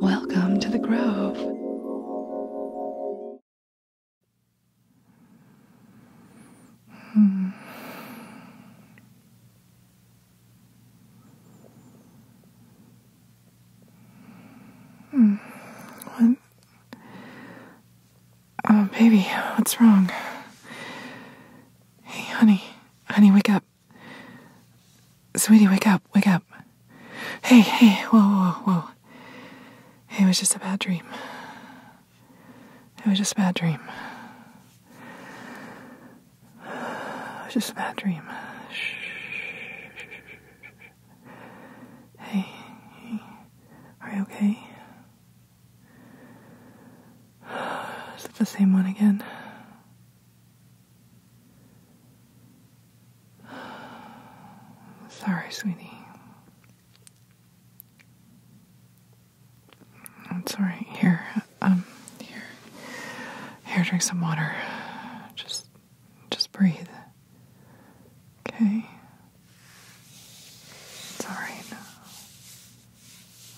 Welcome to the Grove. Hmm. Hmm. Oh, baby, what's wrong? Hey, honey. Honey, wake up. Sweetie, wake up, wake up. Hey, hey, whoa, whoa, whoa. It was just a bad dream. It was just a bad dream. It was just a bad dream. Shh. Hey, hey, are you okay? Is it the same one again? Sorry, sweetie. It's all right. Here, um, here, here. Drink some water. Just, just breathe. Okay. It's all right. now.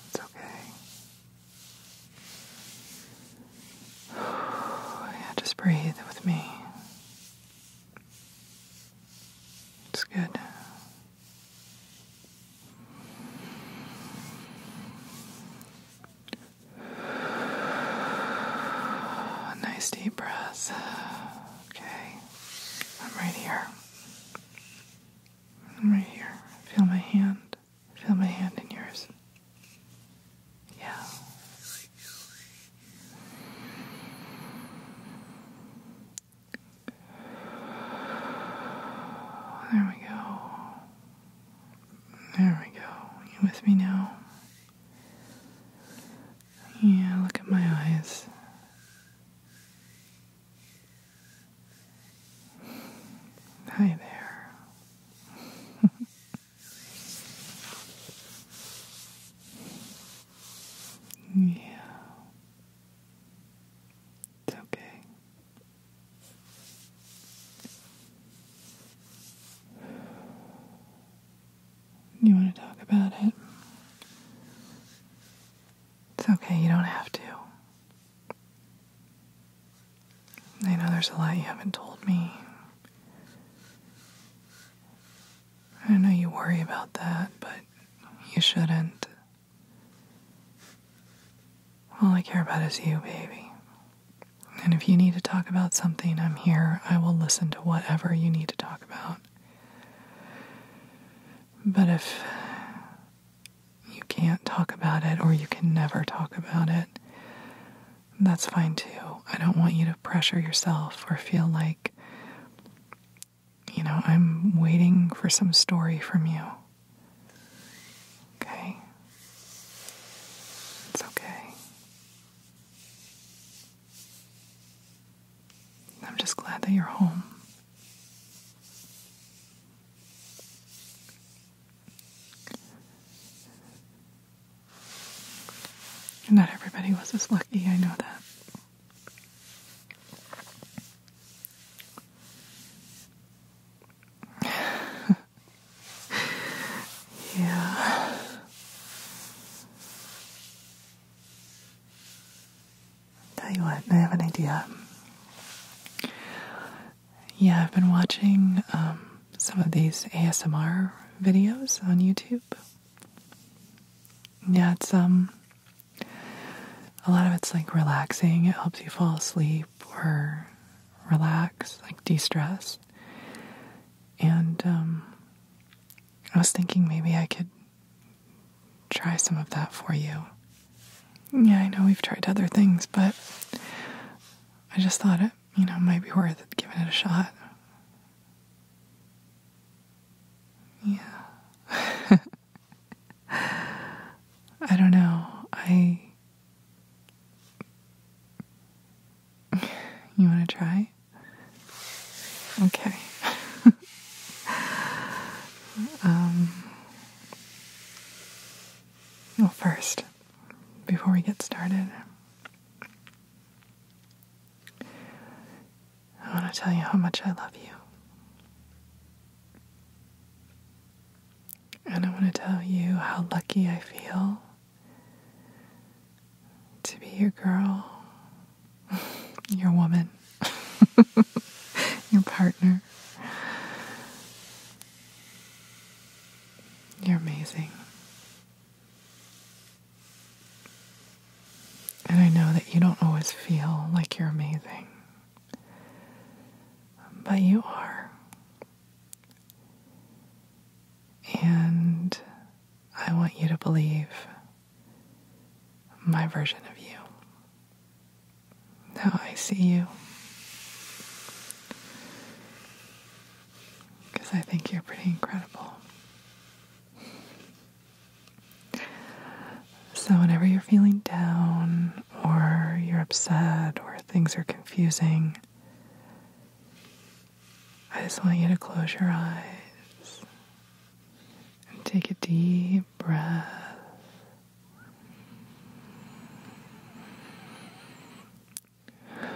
It's okay yeah, just breathe with me. It's good. Nice deep breaths. Okay. I'm right here. I'm right here. Feel my hand. Feel my hand in yours. Yeah. There we go. There we go. You with me now? Yeah, look at my eyes. Hi there. yeah. It's okay. You want to talk about it? It's okay, you don't have to. I know there's a lot you haven't told me. I know you worry about that, but you shouldn't. All I care about is you, baby. And if you need to talk about something, I'm here. I will listen to whatever you need to talk about. But if you can't talk about it or you can never talk about it, that's fine too. I don't want you to pressure yourself or feel like, you know, I'm waiting for some story from you. Okay? It's okay. I'm just glad that you're home. Not everybody was as lucky, I know that. yeah. Tell you what, I have an idea yeah, I've been watching um, some of these ASMR videos on YouTube. Yeah, it's um a lot of it's like relaxing. It helps you fall asleep or relax, like de-stress. And um, I was thinking maybe I could try some of that for you. Yeah, I know we've tried other things, but I just thought it, you know, might be worth giving it a shot. Yeah. I don't know. I. You want to try? Okay. um, well, first, before we get started, I want to tell you how much I love you. And I want to tell you how lucky I feel to be your girl, your woman, your partner. You're amazing. And I know that you don't always feel like you're amazing, but you are. And I want you to believe my version of you. Now I see you. Because I think you're pretty incredible. So, whenever you're feeling down, or you're upset, or things are confusing, I just want you to close your eyes and take a deep breath and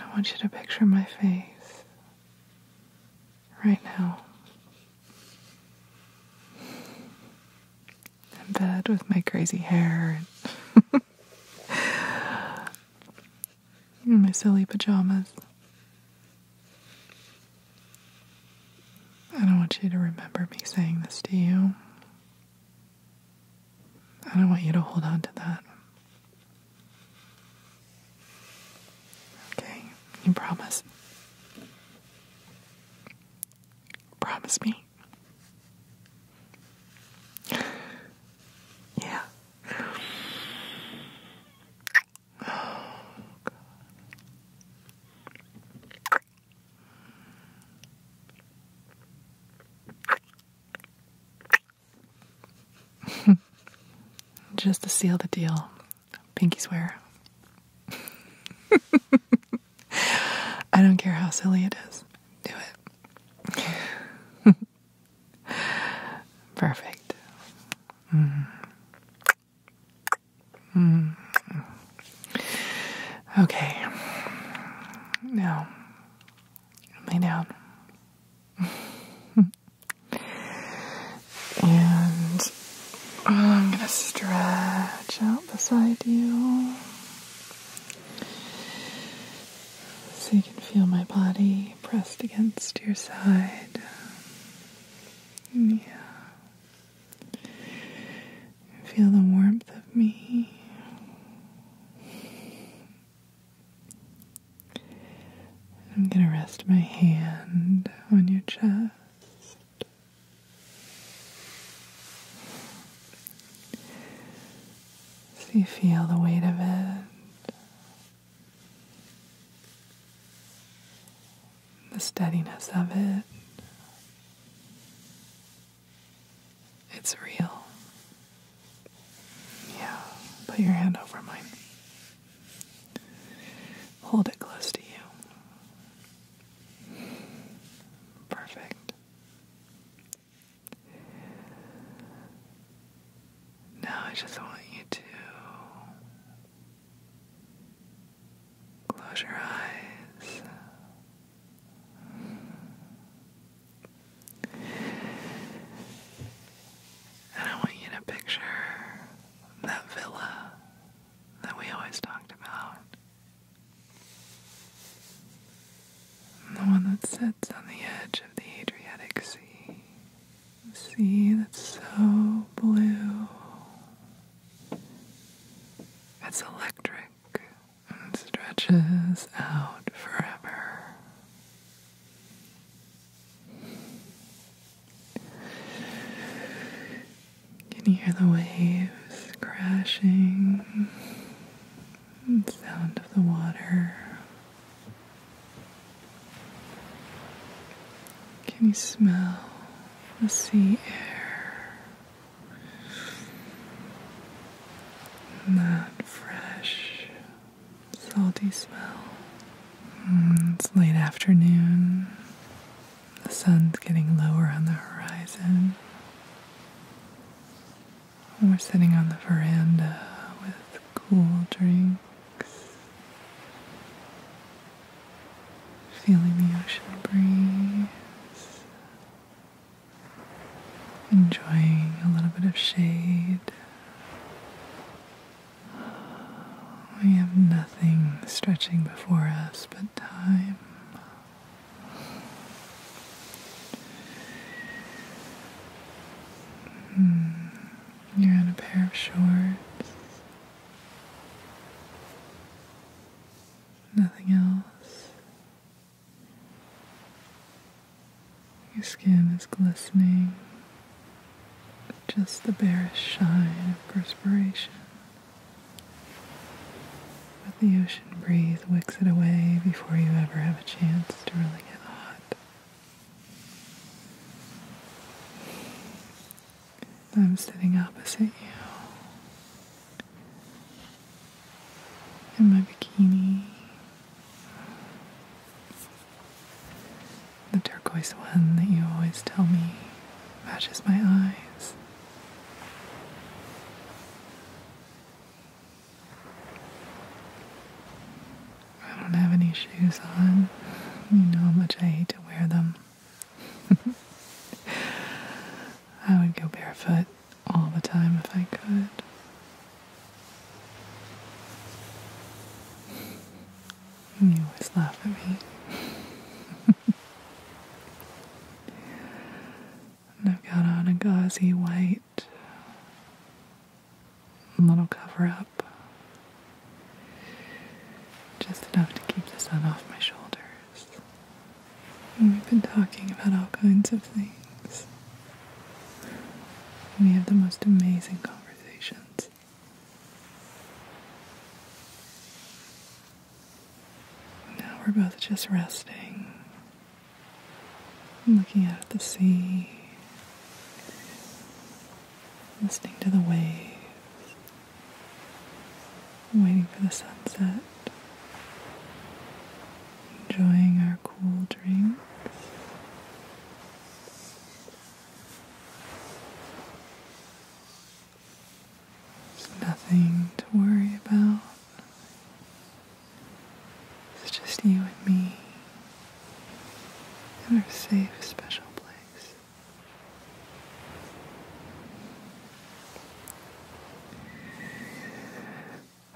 I want you to picture my face right now in bed with my crazy hair and my silly pajamas. I don't want you to remember me saying this to you. I don't want you to hold on to that. Okay, you promise. Promise me. yeah. Just to seal the deal, pinky swear. I don't care how silly it is. Do it. Perfect. Mm-hmm. Hmm. Okay. Now, lay down. and I'm going to stretch out beside you so you can feel my body pressed against your side. Yeah. Feel the warmth of me. I'm going to rest my hand on your chest. So you feel the weight of it the steadiness of it. It's real. Yeah, put your hand over mine. Hold it close to you. Perfect. Now I just want you to Close your eyes. And I want you to picture that villa that we always talked about. The one that sits on the edge of the Adriatic Sea. The sea that's so blue. It's electric and stretches out forever. You can hear the waves crashing, the sound of the water. Can you smell the sea air? And that fresh, salty smell. Mm, it's late afternoon. The sun's getting lower on the horizon. We're sitting on the veranda with cool drinks Feeling the ocean breeze. Enjoying a little bit of shade. We have nothing stretching before us but time. Mm. You're in a pair of shorts. Nothing else. Your skin is glistening. Just the barest shine of perspiration. But the ocean breeze wicks it away before you ever have a chance to really get hot. I'm sitting opposite you in my bikini. The turquoise one that you always tell me matches my eyes. I don't have any shoes on. You know how much I hate to wear them. I would go barefoot all the time if I could. You always laugh at me. I've got on a gauzy white little cover up. Just enough to keep the sun off my shoulders. we've been talking about all kinds of things. We have the most amazing conversations. Now we're both just resting, looking out at the sea, listening to the waves, waiting for the sunset, enjoying our cool drinks. There's nothing to worry about. It's just you and me in our safe, special place.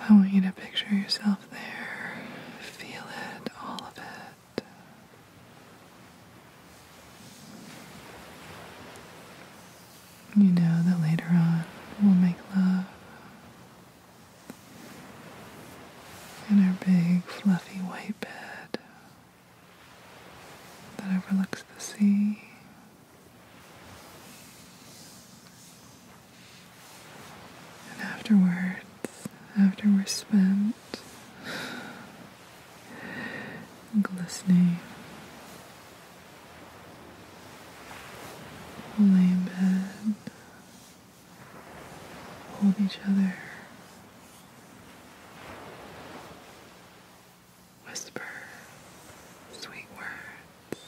I want you to picture yourself there, feel it, all of it. You know that later on we'll make love in our big fluffy white bed that overlooks the sea. And afterwards, after we're spent, glistening, we'll bed Hold each other. Whisper sweet words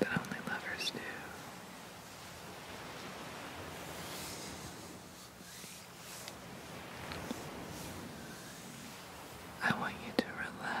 that only lovers do. I want you to relax.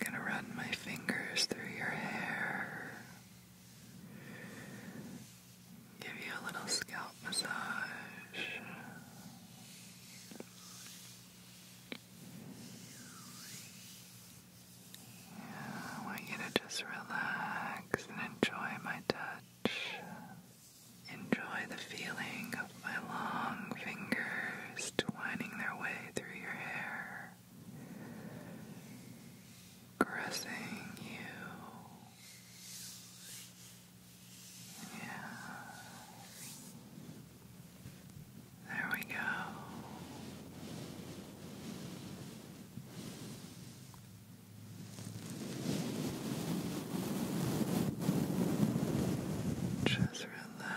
I'm gonna run my fingers through your hair. Give you a little scalp massage. I want you to just relax and enjoy my touch. Enjoy the feeling of my long fingers twining their way way through your hair, caressing you. Yeah. There we go. Just Relax.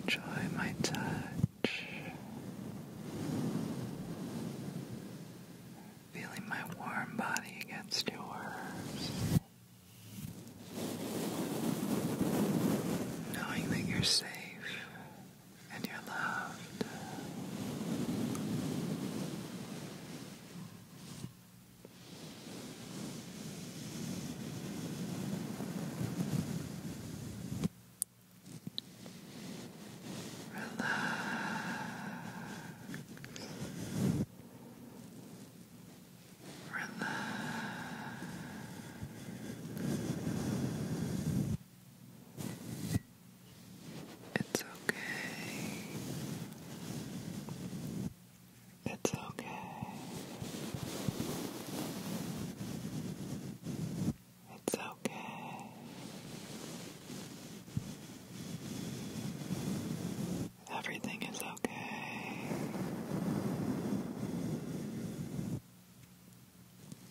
Enjoy my touch. Feeling my warm body against yours. Knowing that you're safe and you're loved. Relax. Relax. It's okay. It's okay. It's okay. Everything is okay.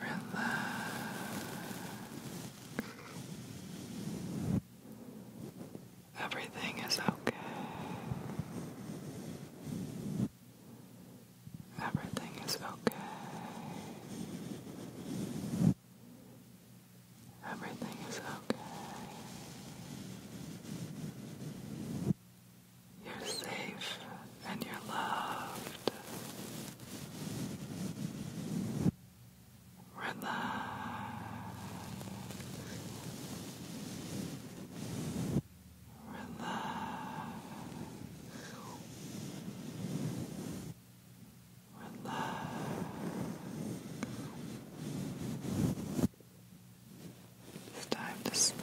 Relax. Everything is okay. Everything is okay. Everything is okay. You're safe and you're loved. Relax. Relax. Relax. It's time to sleep.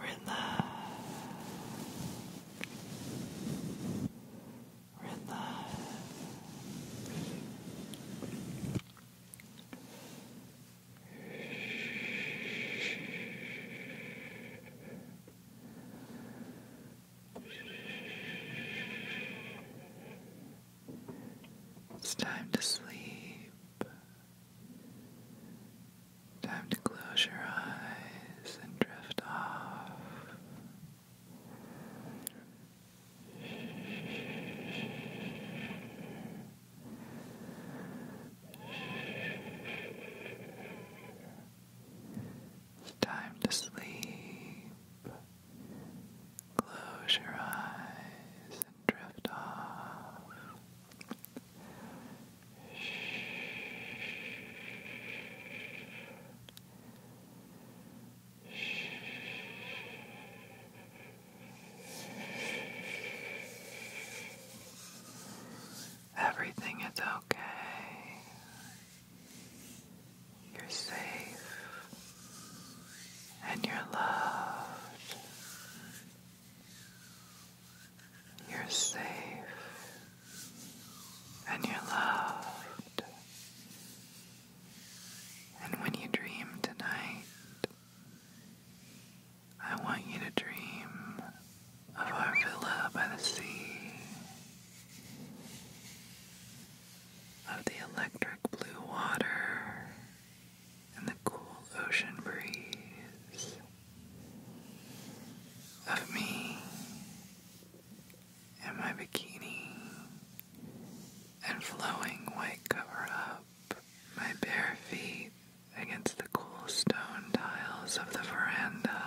Relax. Relax. It's time to sleep. Time to close your eyes and drift off. It's time to sleep. Close your eyes and drift off. Everything is okay. You're safe and you're loved. You're safe and you're loved. And when you dream tonight, I want you to dream of our villa by the sea, of the electric blue water and the cool ocean breeze of me and my bikini and flowing white cover up my bare feet against the cool stone tiles of the veranda.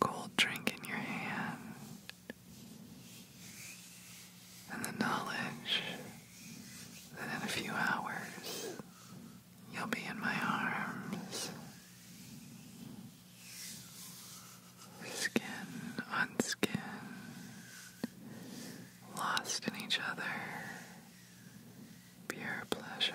Cold drink in your hand, and the knowledge that in a few hours you'll be in my arms. Skin on skin, lost in each other, pure pleasure.